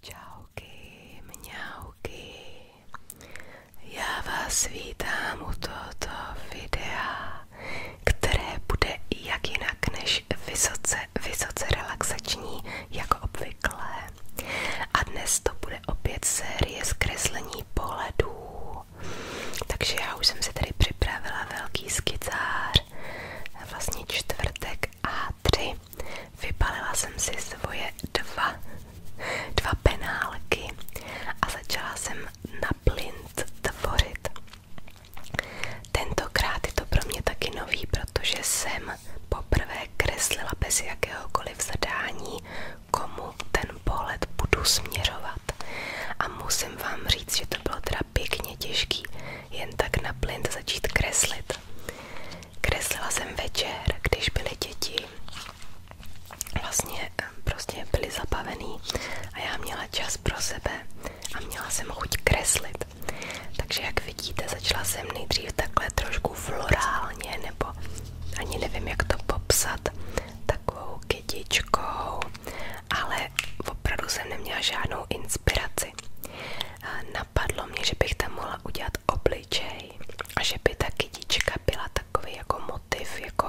Čauky, mňauky, já vás vítám u tohoto videa, které bude jak jinak než vysoce, vysoce relaxační, jako obvykle. A dnes to bude opět série zkreslení pohledů. Takže já už jsem si tady připravila velký skicář, vlastně čtvrtek A3. Vypalila jsem si svoje dva, dva penálky a začala jsem na plint tvořit. Tentokrát je to pro mě taky nový, protože jsem poprvé kreslila bez jakéhokoliv zadání, komu ten pohled budu směřovat. A musím vám říct, že to bylo teda těžký, jen tak na plint začít kreslit let. Kreslila jsem večer, když byly děti vlastně eh, prostě byly zabavený a já měla čas pro sebe a měla jsem chuť kreslit. Takže jak vidíte, začala jsem nejdřív takhle trošku florálně, nebo ani nevím, jak to popsat, takovou kytičkou, ale opravdu jsem neměla žádnou inspiraci. Eh, napadlo mě, že bych tam mohla udělat obličej a že by ta kytička byla takový jako motiv, jako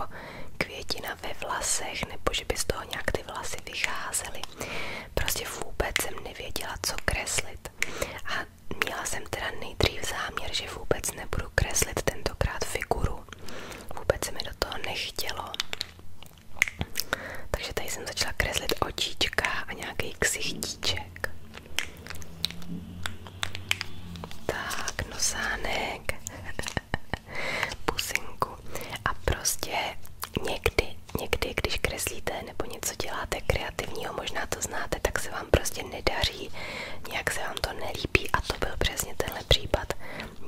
květina ve vlasech, nebo že by z toho nějak ty vlasy vycházely. Prostě vůbec jsem nevěděla, co kreslit. A měla jsem teda nejdřív záměr, že vůbec nebudu kreslit tentokrát figuru. Vůbec se mi do toho nechtělo. Takže tady jsem začala kreslit očička a nějaký ksichtíček. Tak, nosánek, pusinku. A prostě někdy, někdy, když kreslíte nebo něco děláte kreativního, možná to znáte, tak se vám prostě nedaří, nějak se vám to nelíbí a to byl přesně tenhle případ.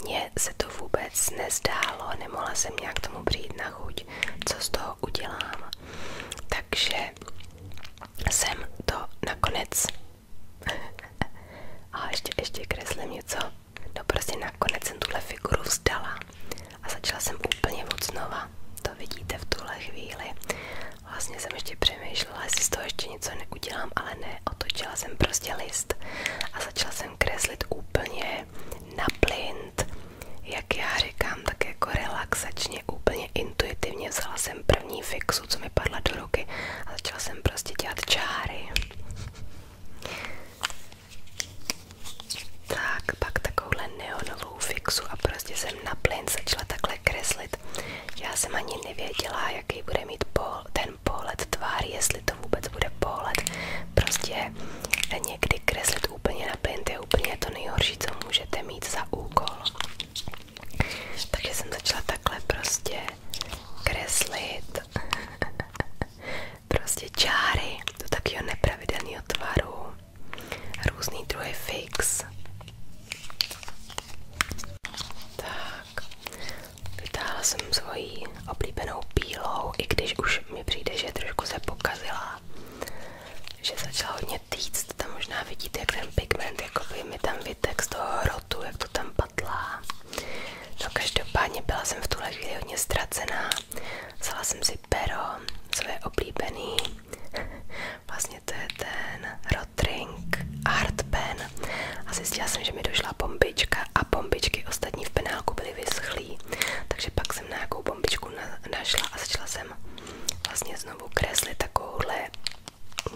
Mně se to vůbec nezdálo, nemohla jsem nějak tomu přijít na chuť chuť, co z toho udělám. Takže jsem to nakonec. A ještě, ještě kreslím něco. No prostě nakonec jsem tuhle figuru vzdala a začala jsem úplně od znova. To vidíte v tuhle chvíli. Vlastně jsem ještě přemýšlela, jestli z toho ještě něco neudělám, ale ne, otočila jsem prostě list a začala jsem kreslit úplně na plyn, jak já říkám, tak jako relaxačně, úplně intuitivně vzala jsem první fixu, co mi padla do ruky a začala jsem prostě dělat čáry. Tak, pak takovouhle neonovou fixu a prostě jsem na začala takhle kreslit. Já jsem ani nevěděla, jaký bude mít pol, ten jestli to vůbec bude pohled. Prostě někdy kreslím nechat úplně na je úplně to nejhorší, co můžete mít za úkol. Takže jsem začala takhle prostě kreslit prostě čáry do takového nepravidelného tvaru, různý druhy fix. Tak, vytáhla jsem svoji oblíbenou bílou, i když už mi přijde, že trošku se pokazila, že začala hodně týct, tam možná vidíte, jak ten pigment jakoby mi tam vytek z toho rotu, jak to tam padlá. No každopádně byla jsem v tuhle chvíli hodně ztracená, vzala jsem si pero, své oblíbený, vlastně to je ten Rotring Art Pen a zjistila jsem, že mi došla bombička a bombičky ostatní v penálku byly vyschlý, takže pak tak jsem nějakou bombičku našla a začala jsem vlastně znovu kreslit takovouhle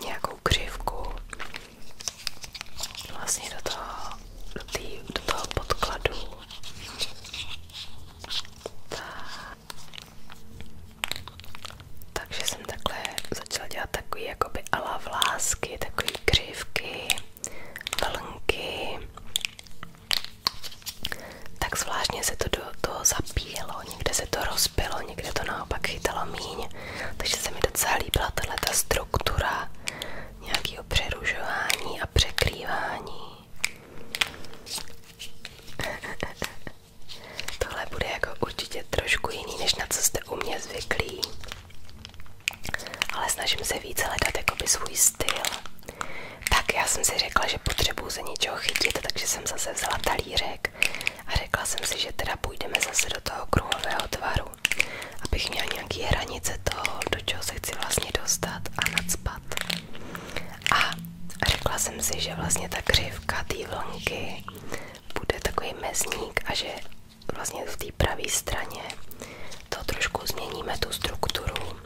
nějakou křivku vlastně do toho, do, tý, do toho podkladu. Takže jsem takhle začala dělat takový jakoby ala takový křivky, vlnky tak zvláštně se to do toho zapíjelo, někde se to rozpilo, někde to naopak chytalo míň, takže se mi docela líbila tato struktura nějakého přerušování a překrývání. Tohle bude jako určitě trošku jiný, než na co jste u mě zvyklí. Ale snažím se více hledat jakoby svůj styl. Tak já jsem si řekla, že potřebuji se něčeho chytit, takže jsem zase vzala talířek a řekla jsem si, že teda půjdeme zase do toho kruhového tvaru, abych měla nějaké hranice toho, do čeho se chci vlastně dostat a nadspat. A řekla jsem si, že vlastně ta křivka té vlnky bude takový mezník a že vlastně v té pravé straně to trošku změníme tu strukturu.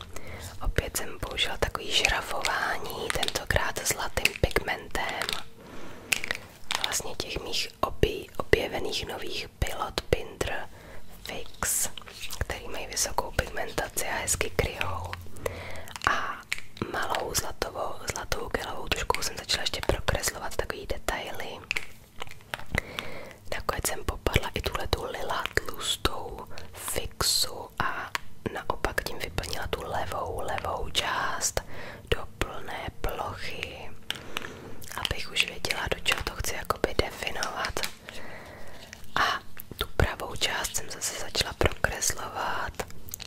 Opět jsem použila takový žrafování, tentokrát zlatým pigmentem. Vlastně těch mých obj objevených nových Pilot Pinder Fix, který mají vysokou pigmentaci a hezky kryjou. A malou zlatovou, zlatou gelovou tuškou jsem začala ještě prokreslovat takový detaily. Nakonec jsem popadla i tuhle tu lila tlustou fixu a naopak tím vyplnila tu levou, levou část do plné plochy, abych už věděla, do čeho to chci jakoby definovat. A tu pravou část jsem zase začala prokreslovat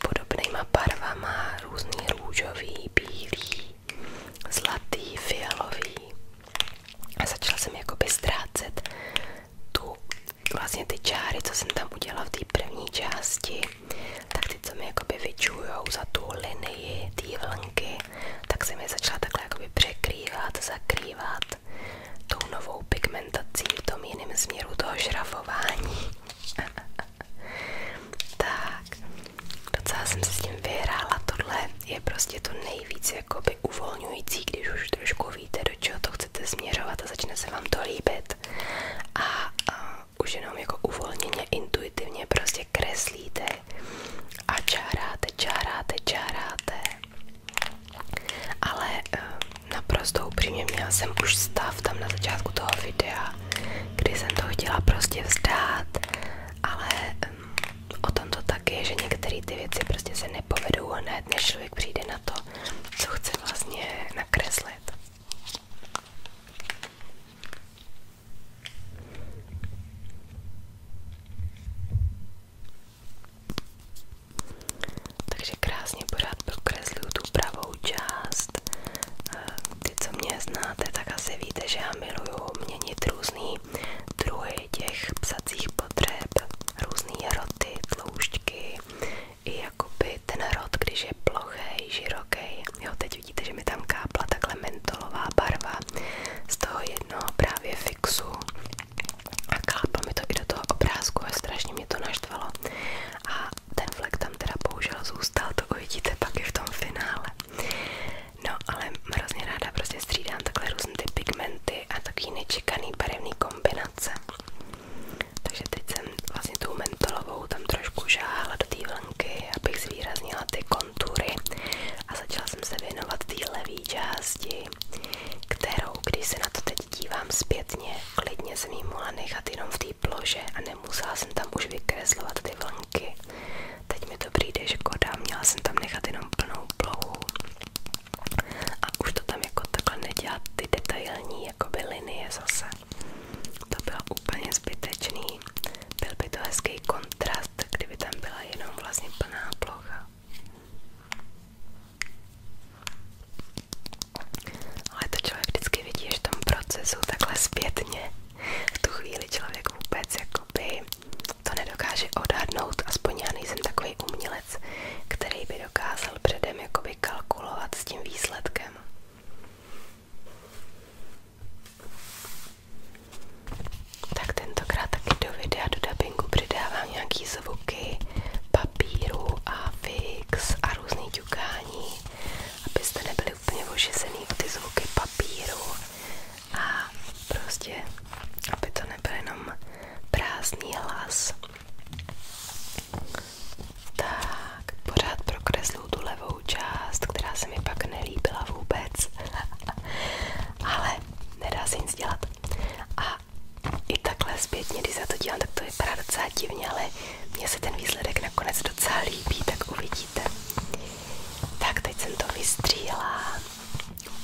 podobnýma barvama, různý růžový, bílý, zlatý, fialový a začala jsem jakoby ztrácet tu, vlastně ty čáry, co jsem tam udělala v té první části, tak ty, co mi jakoby vyčujou za tu linii té vlnky, tak jsem je začala takhle jakoby překrývat, zakrývat tou novou pigmentací v tom jiném směru toho šrafování. tak, docela jsem si s tím vyhrála tohle je prostě to nejvíc jakoby uvolňující, když už trošku víte, do čeho to chcete směřovat a začne se vám to líbit. A, a už jenom jako uvolněně, intuitivně prostě kreslíte a čáráte, čáráte, čáráte. Ale eh, naprosto upřímně měla jsem už stav tam na začátku toho videa, kdy jsem to chtěla prostě vzdát, ale eh, o tom to tak že některé ty věci prostě se nepovedou ne? než člověk přijde na to, co chce vlastně nakreslit. Takže krásně pořád prokresluju tu pravou část. Eh, ty, mě znáte, tak asi víte, že já miluju měnit různý druhy těch psacích potřeb, různé roty, tloušťky i jakoby ten rot, když je plochý, široký. Jo, teď vidíte, že mi tam kápla takhle mentolová barva z toho jednoho právě fixu a kápla mi to i do toho obrázku a strašně mě to naštvalo. A ten flek tam teda bohužel zůstal, to uvidíte pak i v tom finále. No ale hrozně ráda prostě střídám takhle různé ty pigmenty a takový nečekaný barevný kombinace. Takže teď jsem vlastně tou mentolovou tam trošku žáhla do té vlnky, abych zvýraznila ty kontury a začala jsem se věnovat té levé části, kterou, když se na to teď dívám zpětně, klidně jsem ji mohla nechat jenom v té plože a nemusela jsem tam už vykreslovat ty vlnky. Teď mi to přijde škoda, měla jsem tam nechat jenom plnou plochu a už to tam jako takhle nedělat ty detailní jakoby linie zase. To bylo úplně zbytečný. Byl by to hezký kontrast, kdyby tam byla jenom vlastně plná plocha. Ale to člověk vždycky vidí, že v tom procesu takhle zpětně v tu chvíli člověk vůbec jakoby to nedokáže odhadnout, aspoň já nejsem takový umělec, který by dokázal předem jakoby kalkulovat s tím výsledkem. Tak tentokrát taky do videa, do dubbingu přidávám nějaký zvuky papíru a fix a různý ťukání, abyste nebyli úplně ožezený o ty zvuky papíru a prostě, aby to nebyl jenom prázdný hlas. Tak, pořád prokreslu tu levou část, která se mi pak nelíbila vůbec. Ale nedá se dělat. A i takhle když za to dělám, tak to vypadá docela divně, ale mně se ten výsledek nakonec docela líbí, tak uvidíte. Tak, teď jsem to vystříhla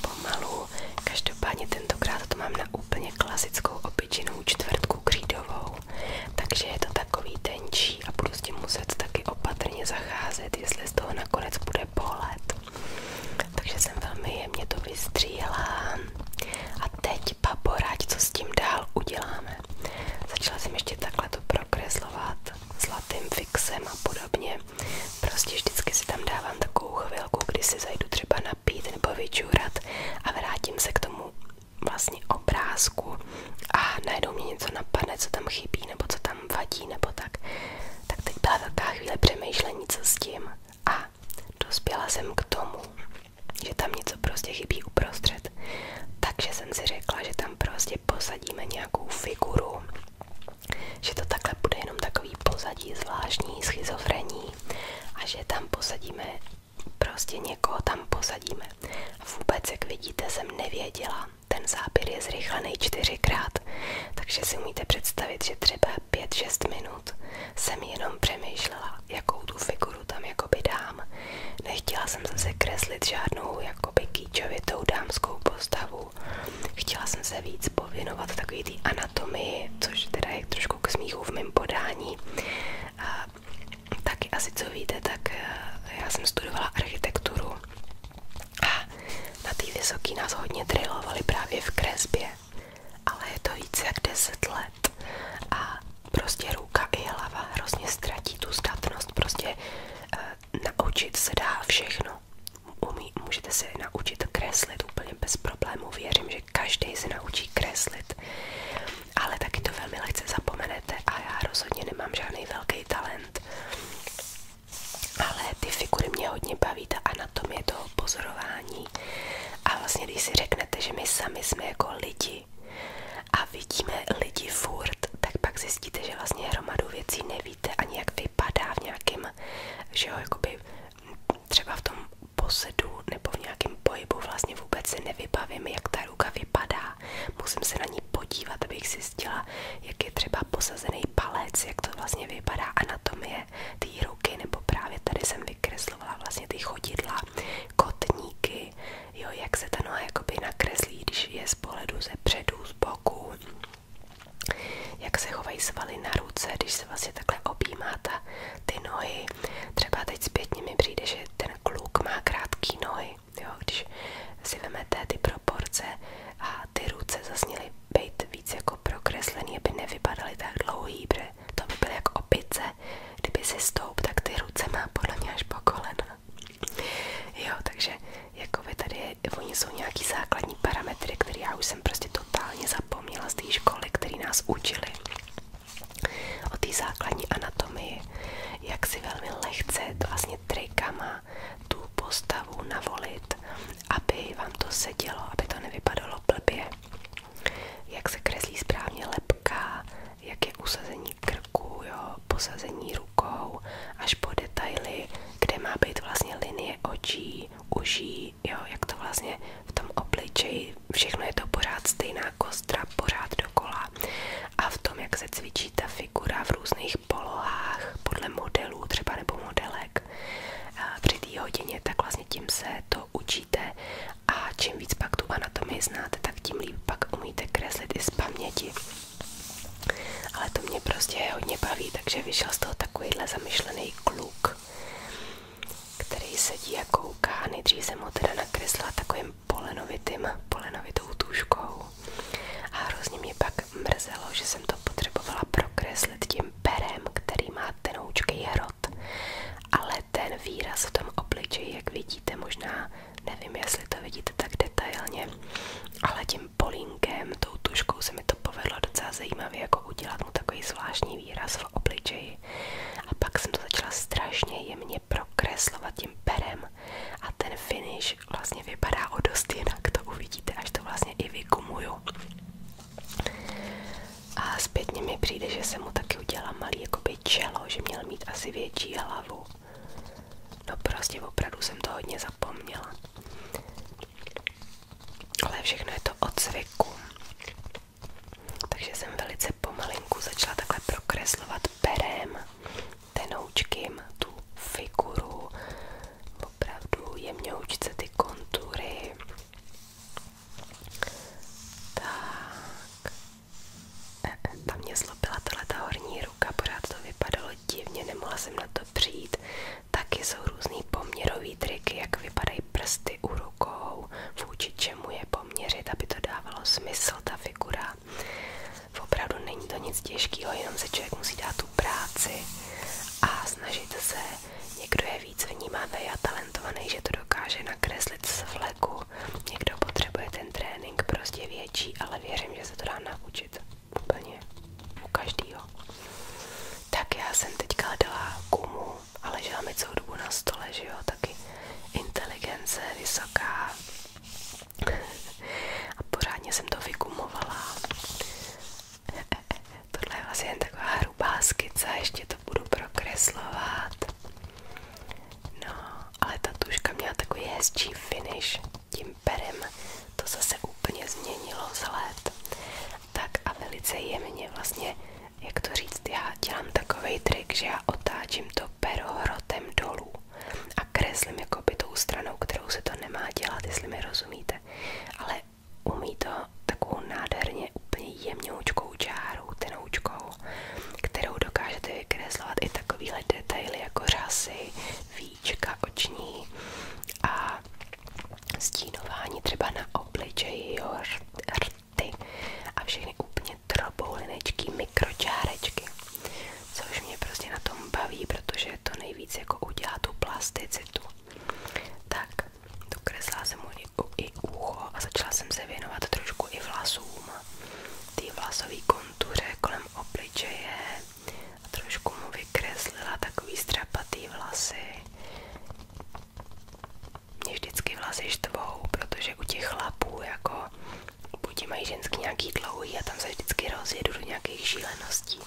pomalu. Každopádně tentokrát to mám na úplně klasickou obyčejnou čtvrtku křídovou, takže je to takový tenčí a budu s tím muset taky opatrně zacházet, jestli z toho nakonec bude pohled. Takže jsem velmi jemně to vystříhala. A teď, paporáď, co s tím dál uděláme? Začala jsem ještě takhle to prokreslovat zlatým fixem a podobně. Prostě vždycky si tam dávám takovou chvilku, kdy si zajdu třeba napít nebo vyčůrat a vrátím se k tomu vlastně obrázku a najednou mě něco napadne, co tam chybí nebo co tam vadí nebo tak. Tak teď byla taková chvíle přemýšlení, co s tím a dospěla jsem k tomu, že tam něco prostě chybí uprostřed. Takže jsem si řekla, že tam prostě posadíme nějakou figuru, že to takhle bude jenom takový pozadí zvláštní schizofrení a že tam posadíme prostě někoho tam posadíme. Vůbec, jak vidíte, jsem nevěděla. Ten záběr je zrychlený čtyřikrát, takže si můžete představit, že třeba 5-6 minut jsem jenom přemýšlela, jakou tu figuru tam jakoby dám. Nechtěla jsem zase kreslit žádnou jakoby kýčovitou dámskou postavu, Chtěla jsem se víc pověnovat takový té anatomii, což teda je trošku smíchu v mém podání. taky asi co víte, tak eh, já jsem studovala architekturu a na té vysoké nás hodně trilovali právě v kresbě, ale je to více jak 10 let a prostě ruka i hlava hrozně ztratí tu zdatnost, prostě e, naučit se dá všechno, Umí, můžete se naučit kreslit úplně bez problémů. Věřím, že každý se naučí kreslit, ale taky to velmi lehce zapomenete a já rozhodně nemám žádný velký talent. Ale ty figury mě hodně baví, ta anatomie toho pozorování. A vlastně, když si řeknete, že my sami jsme jako lidi a vidíme lidi furt, tak pak zjistíte, že vlastně hromadu věcí neví nevíte ani jak vypadá v nějakém, že jo, jakoby třeba v tom posedu nebo v nějakém pohybu vlastně vůbec se nevybavím, jak ta ruka vypadá. Musím se na ní podívat, abych si zjistila, jak je třeba posazený palec, jak to vlastně vypadá anatomie té ruky, nebo právě tady jsem vykreslovala vlastně ty chodidla, kotníky, jo, jak se ta noha jakoby nakreslí, když je z pohledu ze předu, z boku, jak se chovají svaly na ruce, když se vlastně takhle objímáte ty nohy. Třeba teď zpětně mi přijde, že ten kluk má krátké nohy. Jo? Když si vemete ty proporce a ty ruce zasněly být víc jako prokreslený, aby nevypadaly tak dlouhý, protože to by byly jako opice. Kdyby si stoup, tak ty ruce má podle mě až po kolena. Jo, takže jakoby tady oni jsou nějaký základní parametry, které já už jsem prostě totálně zapomněla z té školy, které nás učili o té základní anatomii, jak si velmi lehce vlastně trikama tu postavu navolit, aby vám to sedělo, aby to nevypadalo blbě. Jak se kreslí správně lepka, jak je usazení krku, jo, posazení rukou až po detaily, kde má být vlastně linie očí, uší, jo, jak to vlastně v tom obličeji, všechno je to pořád stejná kostra, pořád dokola. A v tom, jak se cvičí ta figura v různých polohách, podle modelů třeba nebo modelek, při té hodině, tak vlastně tím se to učíte a čím víc pak tu anatomii znáte, tak tím líp pak umíte kreslit i z paměti. Ale to mě prostě hodně baví, takže vyšel z toho takovýhle zamyšlený kluk, který sedí a kouká. Nejdřív jsem ho teda nakresla takovým polenovitým, polenovitou tuškou. A hrozně mě pak mrzelo, že jsem to potřebovala prokreslit tím perem, který má tenoučký hrot. Ale ten výraz v tom obličeji, jak vidíte, možná Nevím, jestli to vidíte tak detailně, ale tím polínkem, tou tuškou se mi to povedlo docela zajímavě, jako udělat mu takový zvláštní výraz v obličeji. A pak jsem to začala strašně jemně prokreslovat tím perem a ten finish vlastně vypadá o dost jinak, to uvidíte, až to vlastně i vykumuju. A zpětně mi přijde, že jsem mu taky udělala malý jakoby čelo, že měl mít asi větší hlavu. No prostě opravdu jsem to hodně zapomněla. Ale všechno je to od zvyku. Takže jsem velice pomalinku začala takhle prokreslovat perem, tenoučkým tu figuru, opravdu jemňoučce ty kontury. Tak, e, e, tam mě zlobila ta horní ruka, pořád to vypadalo, bylo divně, nemohla jsem na to přijít. Taky jsou různý poměrový triky, jak vypadají prsty u rukou, vůči čemu je poměřit, aby to dávalo smysl, ta figura. Opravdu není to nic těžkého, jenom se člověk musí dát tu práci a snažit se, někdo je víc vnímavý a talentovaný, že to dokáže nakreslit z vleku. Někdo potřebuje ten trénink prostě větší, ale věřím, že se to dá naučit líčit úplně u každého. Tak já jsem teďka hledala gumu a ležela mi celou dobu na stole, taky inteligence vysoká a pořádně jsem to vygumovala. Tohle je vlastně jen taková hrubá skica, ještě to budu prokreslovat. No, ale ta tuška měla takový hezčí finish modrým perem. To zase úplně změnilo vzhled. Tak a velice jemně vlastně, jak to říct, já dělám takový trik, že já otáčím to pero hrotem dolů a kreslím jakoby tou stranou, kterou se to nemá dělat, jestli mi rozumíte. Ale umí to takovou nádherně úplně jemňoučkou čárou, tenoučkou kterou dokážete vykreslovat i takovýhle detaily jako řasy, víčka oční a stínování třeba na obličeji, rty a všechny úplně droboulinečky, mikročárečky. Což mě prostě na tom baví, protože to nejvíc jako udělá tu plasticitu. Tak, dokreslila jsem mu i ucho a začala jsem se věnovat trošku i vlasům. Ty vlasové kontuře kolem kolem obličeje a trošku mu vykreslila takový střapatý vlasy. Mě vždycky vlasy štvou, protože u těch chlapů jako buď mají ženský nějaký dlouhý a tam se vždycky rozjedu do nějakých šíleností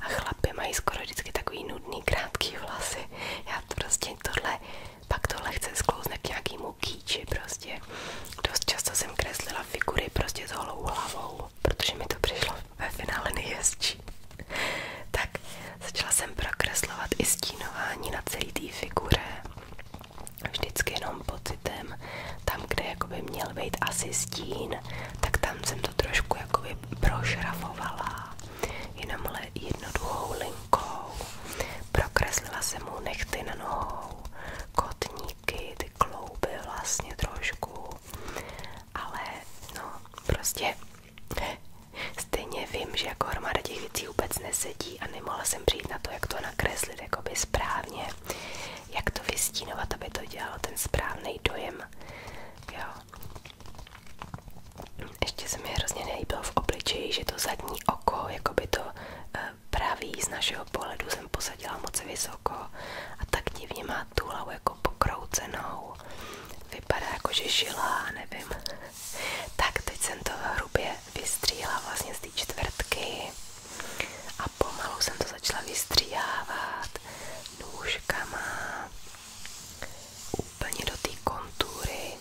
a chlapy mají skoro vždycky takový nudný, krátký vlasy. Já to prostě tohle, pak tohle chce sklouzne k nějakému kýči prostě. Dost často jsem kreslila figury prostě s holou hlavou, protože mi to přišlo ve finále nejhezčí. tak začala jsem prokreslovat i stínování na celý té figuře. Vždycky jenom pocitem, tam, kde jakoby měl být asi stín, tak tam jsem to trošku jakoby prošrafovala. Jenom ale jednoduchou linkou. Prokreslila jsem mu nechty na nohou, kotník špičky, ty klouby vlastně trošku, ale no prostě stejně vím, že jako hromada těch věcí vůbec nesedí a nemohla jsem přijít na to, jak to nakreslit jakoby správně, jak to vystínovat, aby to dělalo ten správný dojem, jo. Ještě se mi hrozně nelíbilo v obličeji, že to zadní oko, jako by to eh, pravý z našeho pohledu jsem posadila moc vysoko a tak divně má tu hlavu jako pokroucenou. Vypadá jako, že žila, nevím. Tak teď jsem to hrubě vystříhla vlastně z té čtvrtky a pomalu jsem to začala vystříhávat nůžkama úplně do té kontury.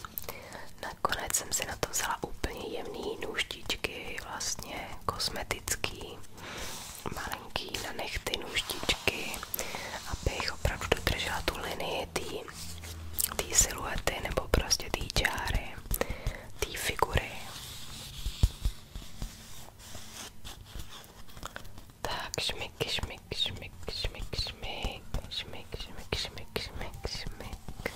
Nakonec jsem si na to vzala úplně jemný nůžtičky vlastně kosmetický, malinký na nechty, nůžtičky, abych opravdu dodržela tu linii té siluety nebo prostě té čáry, té figury. Tak šmik, šmik, šmik, šmik, šmik, šmik, šmik, šmik, šmik, šmik.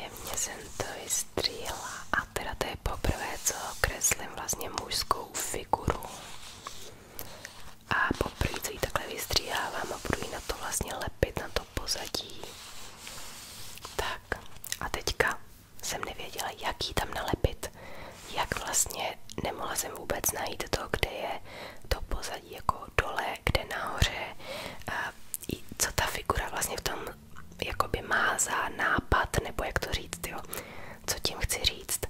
Jemně jsem to stříla a teda to je poprvé, co kreslím vlastně mužskou figuru a poprvé, co ji takhle vystříhávám a budu ji na to vlastně lepit, na to pozadí. Tak a teďka jsem nevěděla, jak ji tam nalepit, jak vlastně nemohla jsem vůbec najít to, kde je to pozadí jako dole kde nahoře, co ta figura vlastně v tom jakoby má za nápad, nebo jak to říct, jo, co tím chci říct.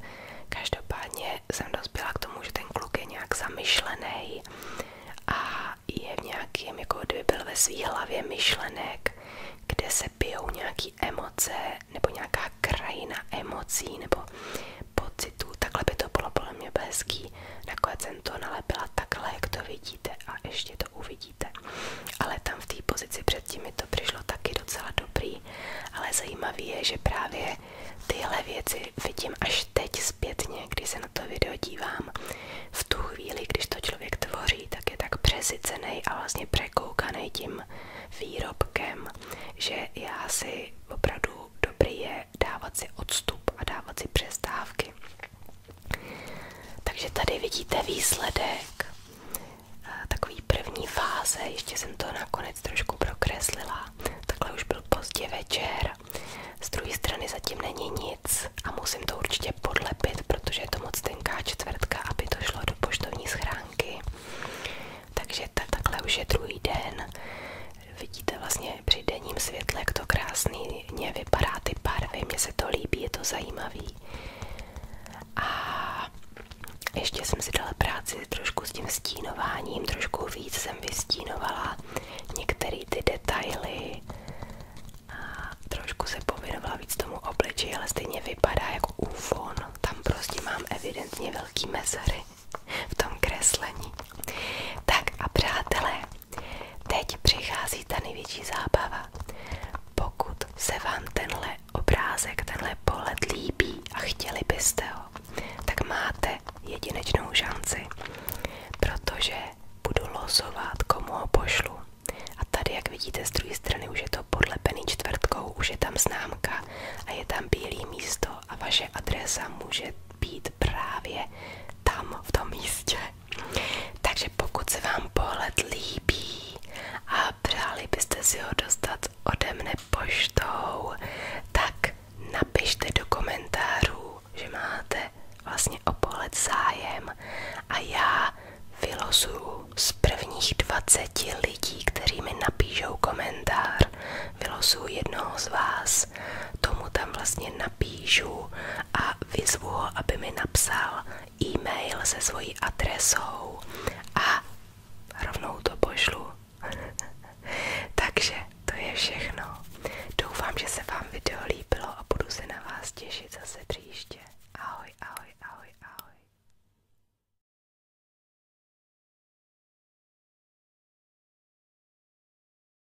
Každopádně jsem dospěla k tomu, že ten kluk je nějak zamyšlený a je v nějakém, jako kdyby byl ve svý hlavě myšlenek, kde se pijou nějaký emoce nebo nějaká krajina emocí nebo pocitů, takhle by to bylo podle mě bezký. Nakonec jsem to nalepila takhle, jak to vidíte a ještě to uvidíte. Ale tam v té pozici předtím mi to přišlo taky docela dobrý, ale zajímavé je, že právě tyhle věci vidím až teď zpětně, když se na to video dívám. V tu chvíli, když to člověk tvoří, tak je tak přesycený a vlastně překoukaný tím výrobkem, že já si opravdu dobrý je dávat si odstup a dávat si přestávky. Takže tady vidíte výsledek eh, takový první fáze, ještě jsem to nakonec trošku prokreslila, takhle už byl pozdě večer, z druhé strany zatím není nic a musím to určitě podlepit, protože je to moc tenká čtvrtka, aby to šlo do poštovní schránky. Takže tak takhle už je druhý den, vidíte vlastně při denním světle, jak to krásně vypadá ty barvy, mně se to líbí, je to zajímavý. A ještě jsem si dala práci trošku s tím stínováním, trošku víc jsem vystínovala některé ty detaily a trošku se pověnovala víc tomu obličeji, ale stejně vypadá jako ufon. Tam prostě mám evidentně velký mezery v tom kreslení. Tak a přátelé, teď přichází ta největší zábava. Pokud se vám tenhle obrázek, tenhle pohled líbí a chtěli byste ho, tak máte jedinečnou šanci, protože budu losovat, komu ho pošlu. A tady, jak vidíte z druhé strany, už je to podlepený čtvrtkou, už je tam známka a je tam bílé místo a vaše adresa může být právě tam v tom místě. Takže pokud se vám pohled líbí a přáli byste si ho dostat ode poštou, tak napište do komentářů, že máte vlastně o zájem a já vylosuju z prvních 20 lidí, kteří napíšou komentář, vylosuju jednoho z vás Tomu tam vlastně napíšu a vyzvu ho, aby mi napsal e-mail se svojí adresou a rovnou to pošlu. Takže to je všechno. Doufám, že se vám video líbilo a budu se na vás těšit zase příště. Ahoj, ahoj, ahoj, ahoj.